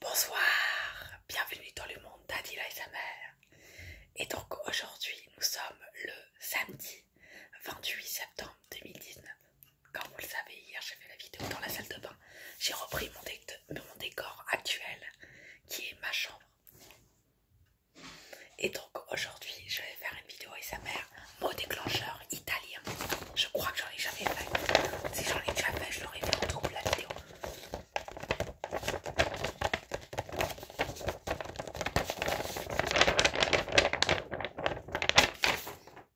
Bonsoir, bienvenue dans le monde d'Adila et sa mère. Et donc aujourd'hui, nous sommes le samedi 28 septembre 2019. Comme vous le savez, hier j'ai fait la vidéo dans la salle de bain. J'ai repris mon, décor actuel qui est ma chambre. Et donc aujourd'hui, je vais faire une vidéo et sa mère mot déclencheur italien, je crois que j'en ai jamais fait. Si j'en ai déjà fait, je l'aurais fait en double. la vidéo.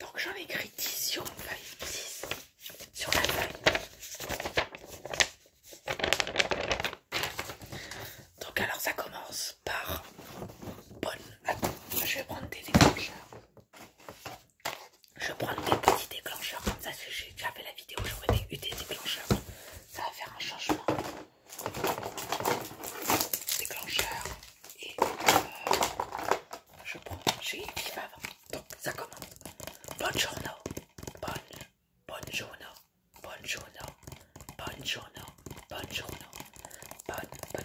Donc j'en ai écrit 10 sur la feuille, sur la feuille. Donc alors ça commence par bonne... je vais prendre des déclencheurs. Je prends des petits déclencheurs comme ça, parce j'ai fait la vidéo, j'aurais eu des déclencheurs. Ça va faire un changement. Déclencheur et euh, je prends Donc ça commence. Buongiorno, bonne, buongiorno, buongiorno, buongiorno, buongiorno, bonne, bonne,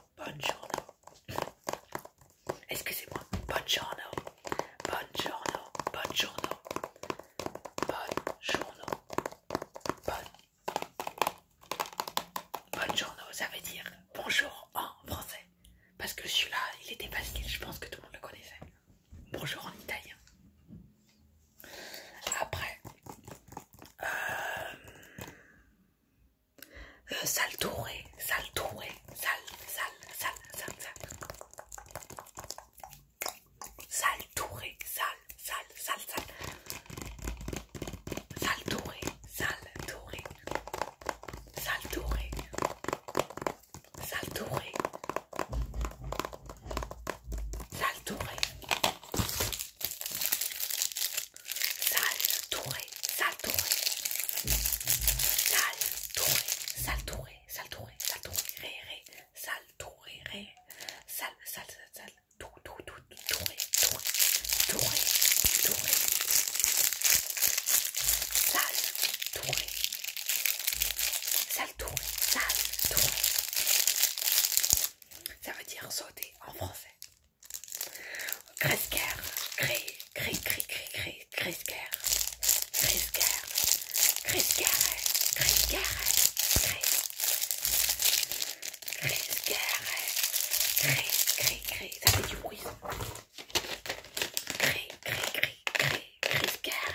buongiorno. Excusez-moi, buongiorno, buongiorno, bonjourno, bonjourno, bon. buongiorno, ça veut dire bonjour en français. Parce que celui-là, il était facile, je pense que tout le monde le connaissait. Bonjour en italien. Après, euh, Sal euh, sale touré, sale touré, sale, sale, sale, sale, sale. Sale touré, sale, sale, sale, sale. Sale touré, sale touré. Sale touré. Sale touré. Sale Sal Touré, sal Touré, sal Touré, sal Touré, sal Touré, sal Touré, touré, sal Touré, Touré, Touré, Touré, Touré, Touré, Touré, sal Touré, Touré. Ça veut dire sauter en français cri, cri, cri, cri, Cré, Cresker, Cresker, Cresker, cri Cresker, cri cri. ça fait du bruit. cri, cri, cri, cri, Cresker,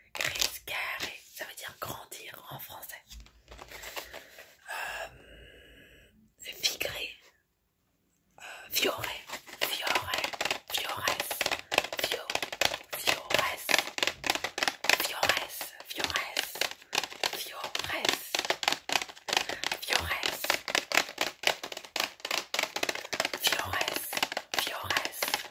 gris, ça veut dire grandir en français. Euh, Figré, euh, fiore, Viores. Viores. Viores. Viores. Viores. Viores. Fiorès, Viores.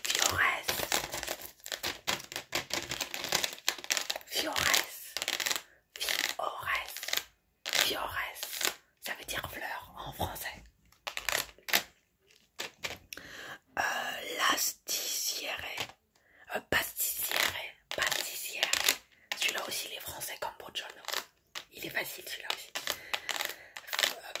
Fiores. Fiores. Fiores. Fiores. Ça veut dire fleur en français. Euh, L'asticiere. pasticier, euh, pasticiere. Pasticiere. Celui-là aussi, les français comme john Il est facile celui-là aussi. Euh,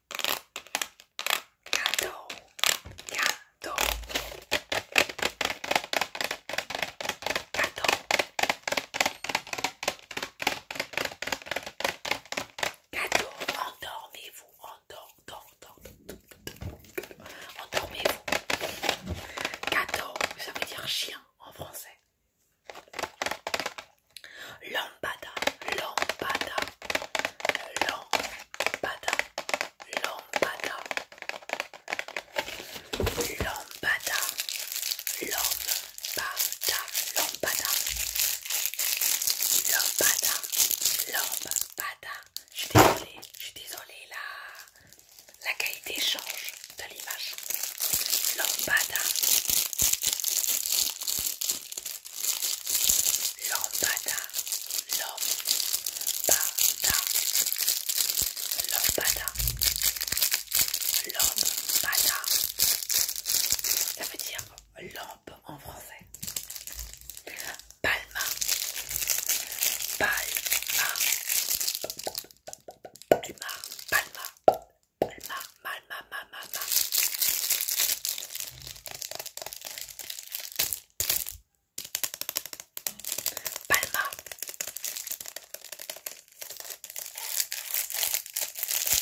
Cadeau, cadeau, Endormez-vous, endormez-vous, endormez-vous. ça veut dire chien en français. Lombada Lombada Lombada Lombada Lombada Lombada Lombada Lombada Lombada Je suis désolée, je suis désolée, la, qualité change de l'image. Lombada Lambada, lombada, L'homme bada Ça veut dire lampe en français. Palma, palma, palma, palma, Palma, palma, palma, palma. Palma,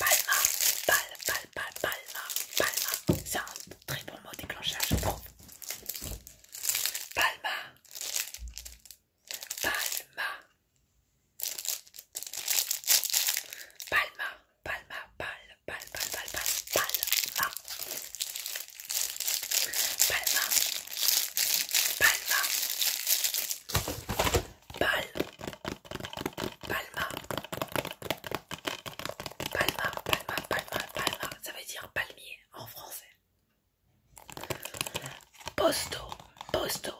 Palma, Palma, Palma, Palma. C'est un très bon mot déclencheur, je trouve. Palma, Palma, Palma, Palma, Pal, Pal, Pal, Pal, Pal, Palma. Palma. Palma. Palma. Palma, Palma, Palma, Palma. Ça veut dire palmier en français. Posto, posto,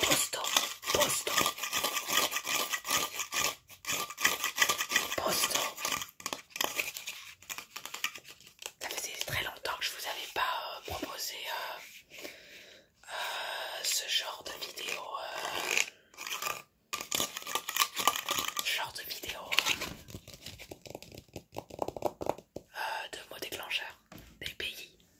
Posto, posto. Posto. Ça faisait très longtemps que je vous avais pas euh, proposé euh, euh, ce genre de vidéo. genre de vidéo de mots déclencheurs des pays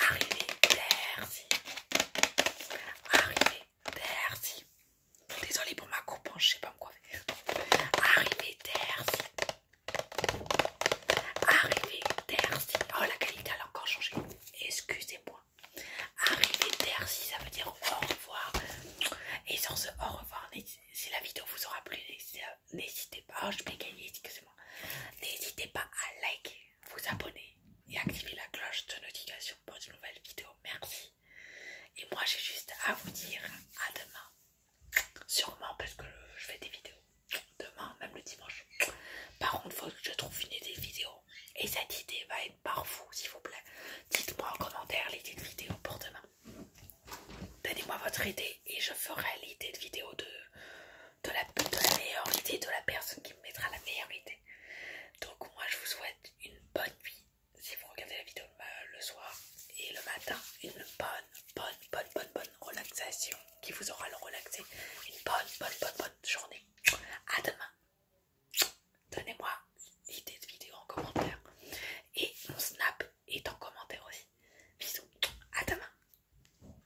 Arrivé terci Arrivé terci Désolée pour ma coupe, hein, je sais pas me faire. Arrivé Terci Arrivé merci Oh, la qualité, a encore changé. Excusez-moi. Arrivé merci, ça veut dire au revoir. Et sans ce au revoir, si la vidéo vous aura plu, n'hésitez pas. Oh, je m'ai gagné, excusez-moi. N'hésitez pas à liker vous abonner et activer la cloche de notification pour de nouvelles vidéos. Merci. Et moi, j'ai juste à vous dire à demain. Sûrement parce que je fais des vidéos demain, même le dimanche. Par une fois que je trouve une idée vidéo. Et cette idée va être par vous, s'il vous plaît. Dites-moi en commentaire l'idée de vidéo pour demain. Donnez-moi votre idée et je ferai l'idée de vidéo de de la, meilleure idée, de la personne qui me mettra la meilleure idée. Donc moi je vous souhaite une bonne nuit si vous regardez la vidéo le soir et le matin, une bonne, bonne, bonne, bonne, bonne relaxation qui vous aura le relaxé. Une bonne, bonne, bonne, bonne journée. À demain. Donnez-moi l'idée de vidéo en commentaire. Et mon snap est en commentaire aussi. Bisous. À demain.